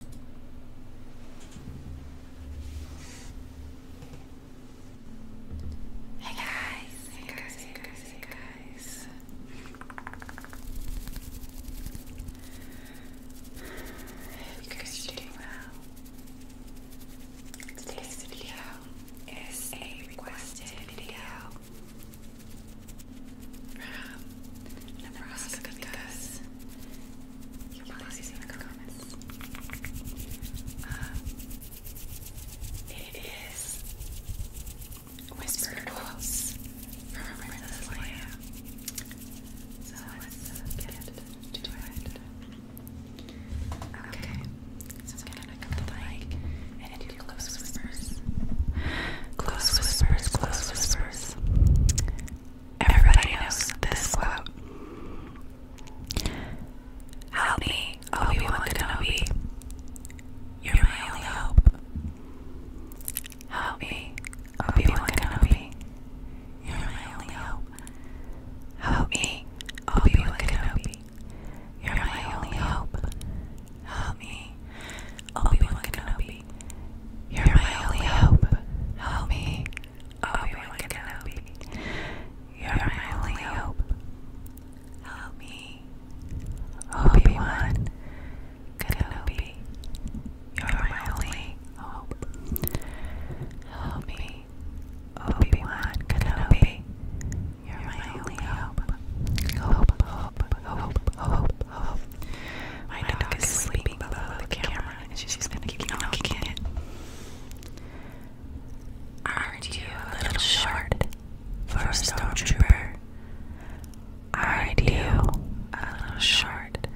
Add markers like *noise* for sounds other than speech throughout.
Hey guys, you guys are doing well. Today's video is a requested video from Nebraska because you uh, it is Whispered Quotes from a Princess Leia. So let's get to it. Okay, so I'm gonna come to the mic and do close whispers. Close whispers, close whispers. Everybody knows this quote. Help me, Obi-Wan Kenobi. You're my only hope. Help me, Obi-Wan Kenobi. You're my only hope. Help me, Obi-Wan Kenobi. You're my only hope. Help me, Obi-Wan Kenobi baby. You're, You're my, my only hope. hope. Help me. Obi-Wan Kenobi. You're, You're my, my only hope. hope. Help me. Obi-Wan Kenobi. You're my only hope. Help me. Obi-Wan Kenobi. You're my only hope. Hope, hope, hope, hope, hope. My, My dog, dog is sleeping below, below the, the camera, camera and she's, she's gonna keep knocking it. Aren't you a little short for a stormtrooper? Aren't you a little short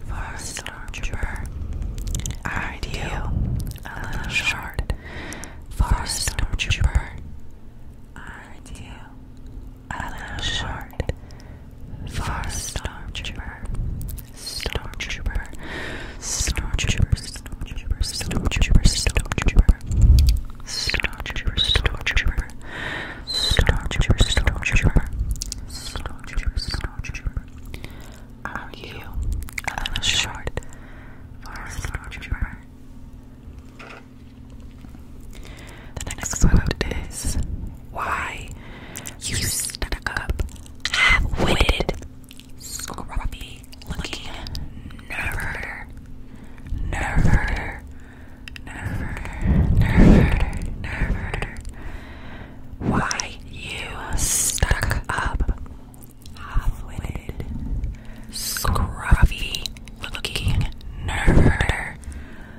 for a stormtrooper? Aren't you a little short for a stormtrooper? Aren't you a short far stormtrooper, stormtrooper, stormtrooper, stormtrooper, stormtrooper, stormtrooper, stormtrooper, stormtrooper, stormtrooper, stormtrooper, stormtrooper, stormtrooper. Are you a little short for a stormtrooper? The next quote is Why you stuck up, half witted, scruffy looking nerver, nerver, nerver, nerver, nerver. Why you stuck up, half witted, scruffy looking nerver.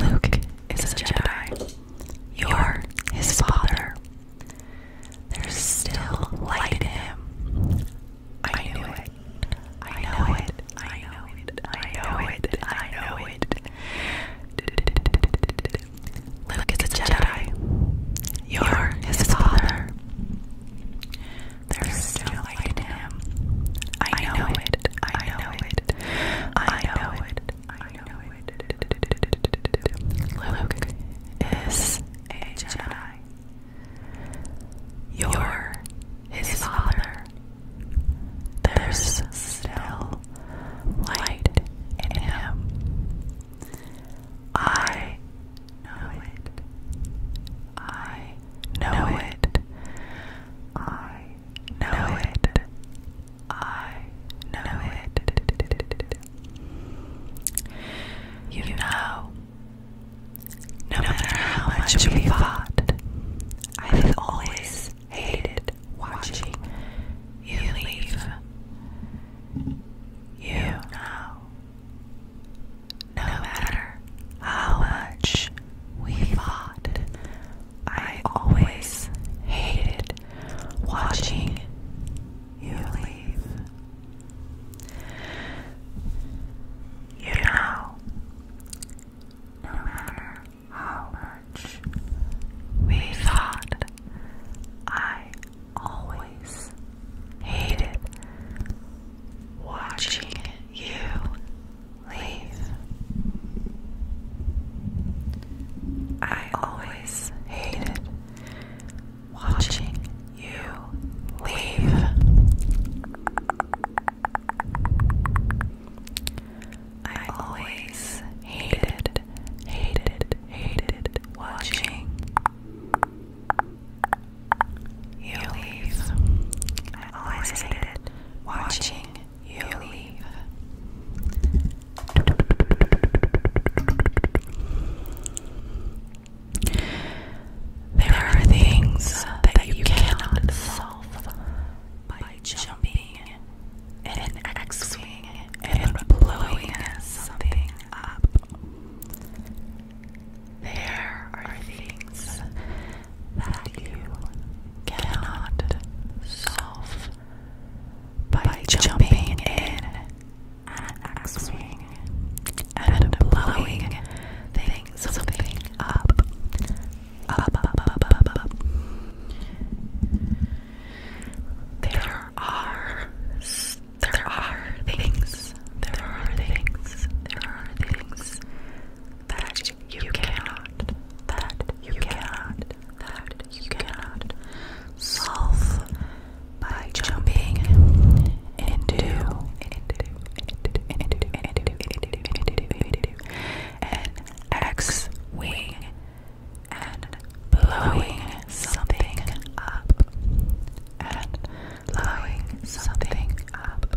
Luke is a Jedi. You're his father. There's still light in him. I knew it. I know it. I know it. I know it. I know it. Luke is a Jedi. You're his father. There's still light in him am. I know it. I know it. I know it. I know it. Luke is a Jedi. You're his father. There's still light in him. I know it. I know it. I know it. I know it. You know, no matter how much we fought, I have always hated watching you leave. You know, no matter how much we thought I always hated watching you leave. You know, no matter how much we fought, I always hated watching you leave. I always hated watching you leave. I always hated, hated, hated watching you leave. I always hated watching there are things that you cannot solve by jumping in an X Wing and blowing something up. There are things that you cannot solve by jumping in and axing and blowing things something up, up, up, up, up, up. There are there are things. There are things. There are things that you cannot, that you cannot, that you cannot solve by jumping into an X wing and blowing something up and blowing something up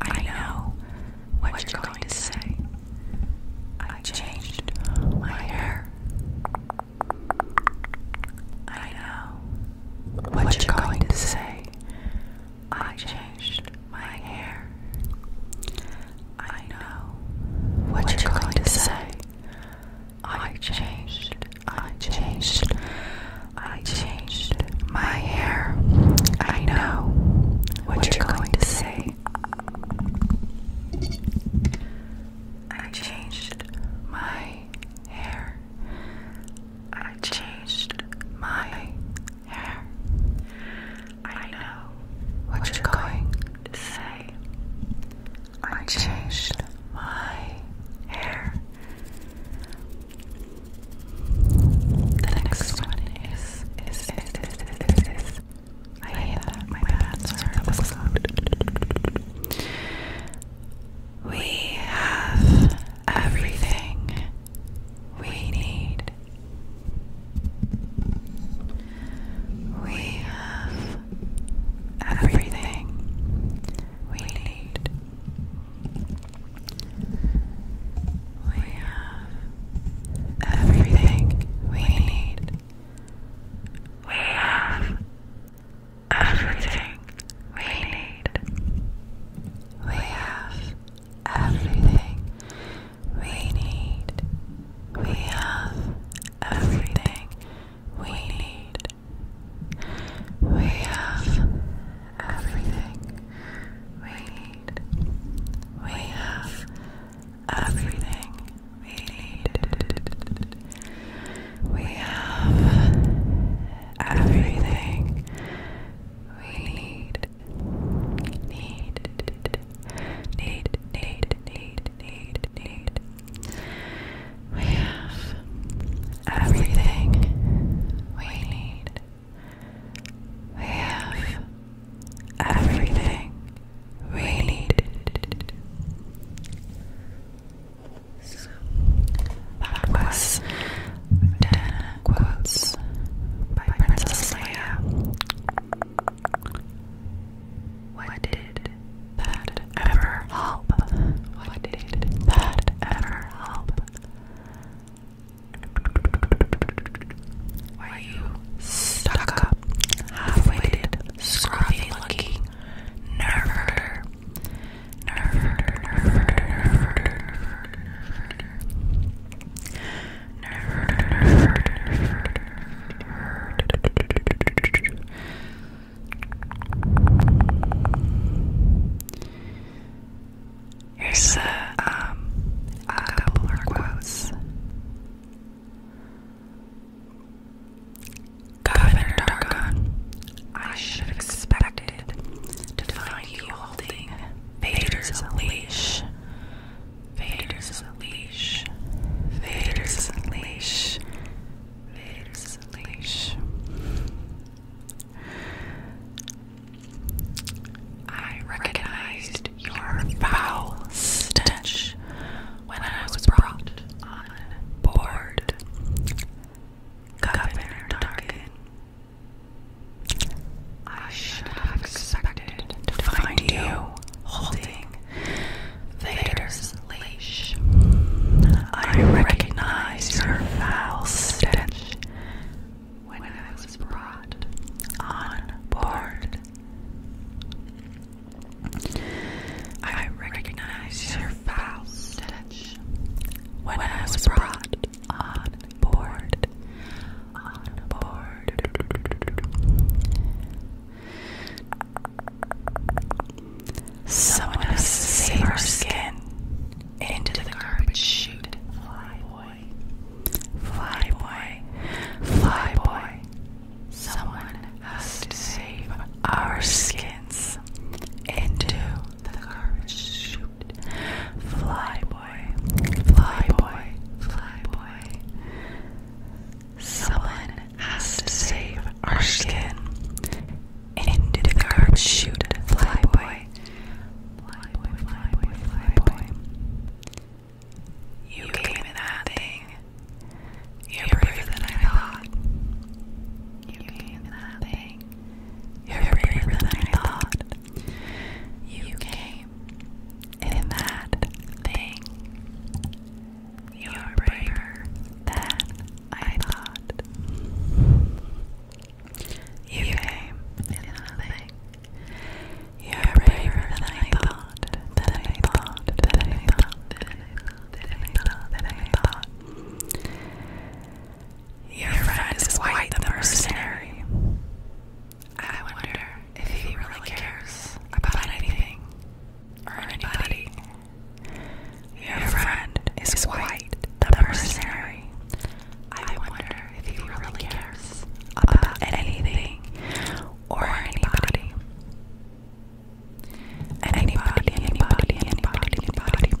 I know what, what you're going, to say. I changed my hair. I know what, you're going, to say. I changed my hair. I know what, what you're going, going to say. I changed. I changed. I changed my hair. I know what, you're, going, to say. I changed my hair. I changed my hair. I know what, you're, going to say. I changed my hair. The next one is is is is is is, I hate that. My bad. Sorry, that was We have everything we need. We have everything we need. We have everything we need. We have everything we need. We have everything we need. We have everything we need. We have everything we need need. We have everything we need. We have everything we need. Need, need, need, need, need, need. We have everything we need. We have everything we need. So that quotes by Princess Leia. What did that ever help? What did that ever help? Are you stuck up, half-witted, scruffy-looking, nerve herder? Here's uh, um, a, couple more quotes. Governor Dargon, I should have expected to find you holding Vader's leash. Vader's leash. Vader's leash. Vader's leash. I recognized your foul stench when I was brought on board. Governor Duncan. I should have expected to find you holding Vader's leash. I recognize your foul stench when I was brought on board. I recognized your foul stench when I was brought on board. On board. Someone save our skin into the garbage chute. Fly fly boy, fly boy. Someone has to save our skins into the garbage chute. Fly boy, fly boy, fly boy. Someone has to save our skin into the garbage chute. Fly boy, fly boy, fly boy, fly boy. You, you came, came in that thing. You're, You're braver than I thought. You came in that thing. You're braver than I thought. You came in that thing. You're braver than I thought. You came in that thing you Your friend is quite the mercenary. I wonder if he really cares about anything or anybody. Your friend is quite the mercenary. I wonder if he really cares about anything or anybody. Anybody, anybody, anybody, anybody.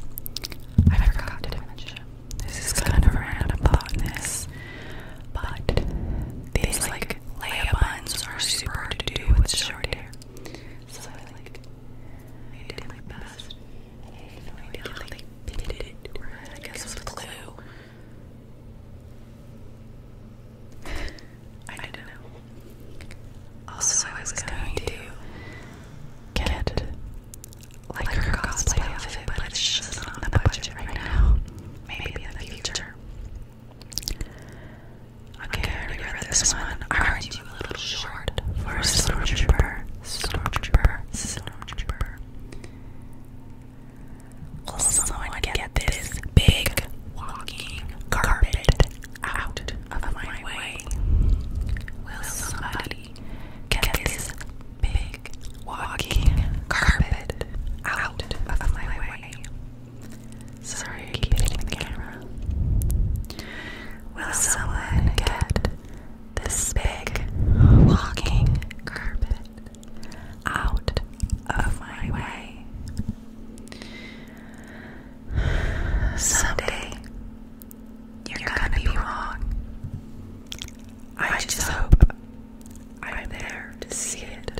I forgot to mention. This is kind of random thoughtness, but these like lay buns are super to do with short hair. So I like I did my best. I did like pitted it. *laughs* I don't know. Also, I was going to get like her cosplay outfit, but it's just not on the budget right now. Maybe in the future. Okay, I already this one. Aren't you a little short for a stormtrooper? Stormtrooper, stormtrooper. Will someone get this big walking carpet out of my way? Will somebody get this big walking carpet out of my way? Sorry, I the camera. Will someone get this big walking carpet out of my way. Someday, you're gonna be wrong. I just hope I'm there to see it.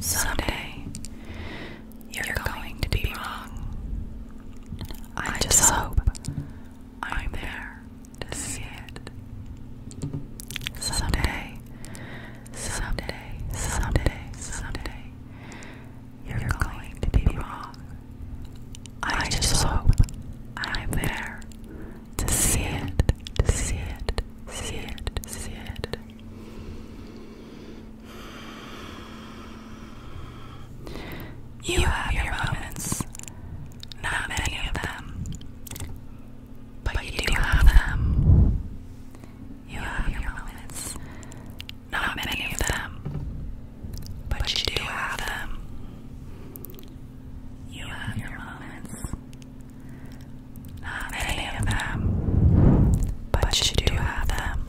Someday, you're going to be wrong. I just hope I'm there to see it. Someday, someday, someday, someday, you're going to be wrong. I just hope I'm there to see it, to see it, see it, see it. You have your moments. Not many of them. But you do have them. You have your moments. Not many of them. But you do have them. You have your moments. Not many of them. But you do have them.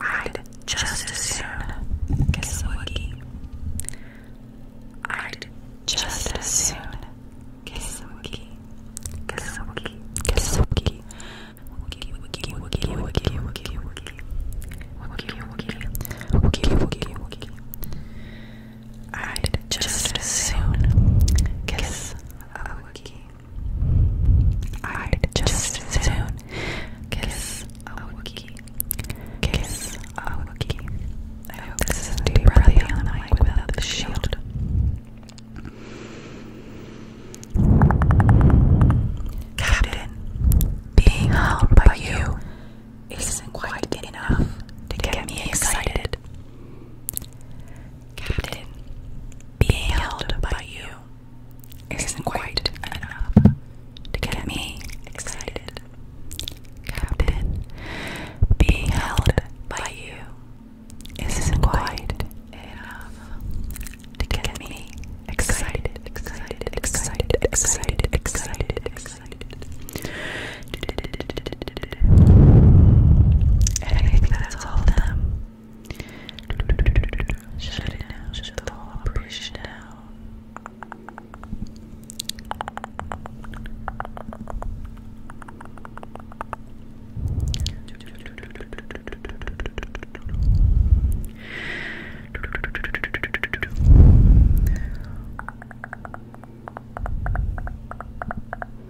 I'd just as soon kiss a wookie. I'd just as soon kiss a wookie. Kiss a wookie. Kiss a wookie. Wookie, wookie, wookie, wookie, wookie, wookie. Wookie, wookie. Wookie, wookie, wookie. I'd just as soon kiss a wookie. I'd just as soon kiss a Wookie. Kiss a Wookie. I hope this isn't too breathy on the mic without the shield. Captain, being held by you isn't quite enough to get me excited. Captain, being held by you isn't quite enough to get me excited. Captain, being held by you isn't quite enough to get me excited, excited, excited, excited, excited, excited. I think that's all of them. Shut it down, shut the whole operation down.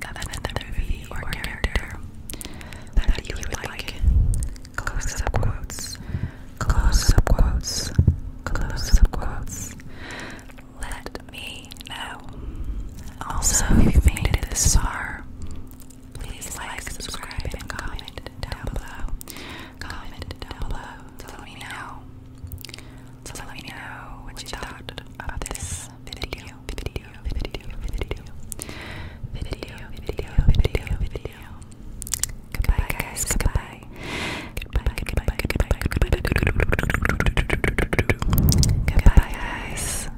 another movie or character that you would like. Close up quotes. Close up quotes. Close up quotes. Let me know. Also, if you made it this far, please like, subscribe, and comment down below. Comment down below to me know. To me know what you thought of this video video, video, video, video, video, video, video, video. Goodbye, guys. Goodbye. Goodbye. Goodbye. Goodbye. Goodbye. Goodbye, guys.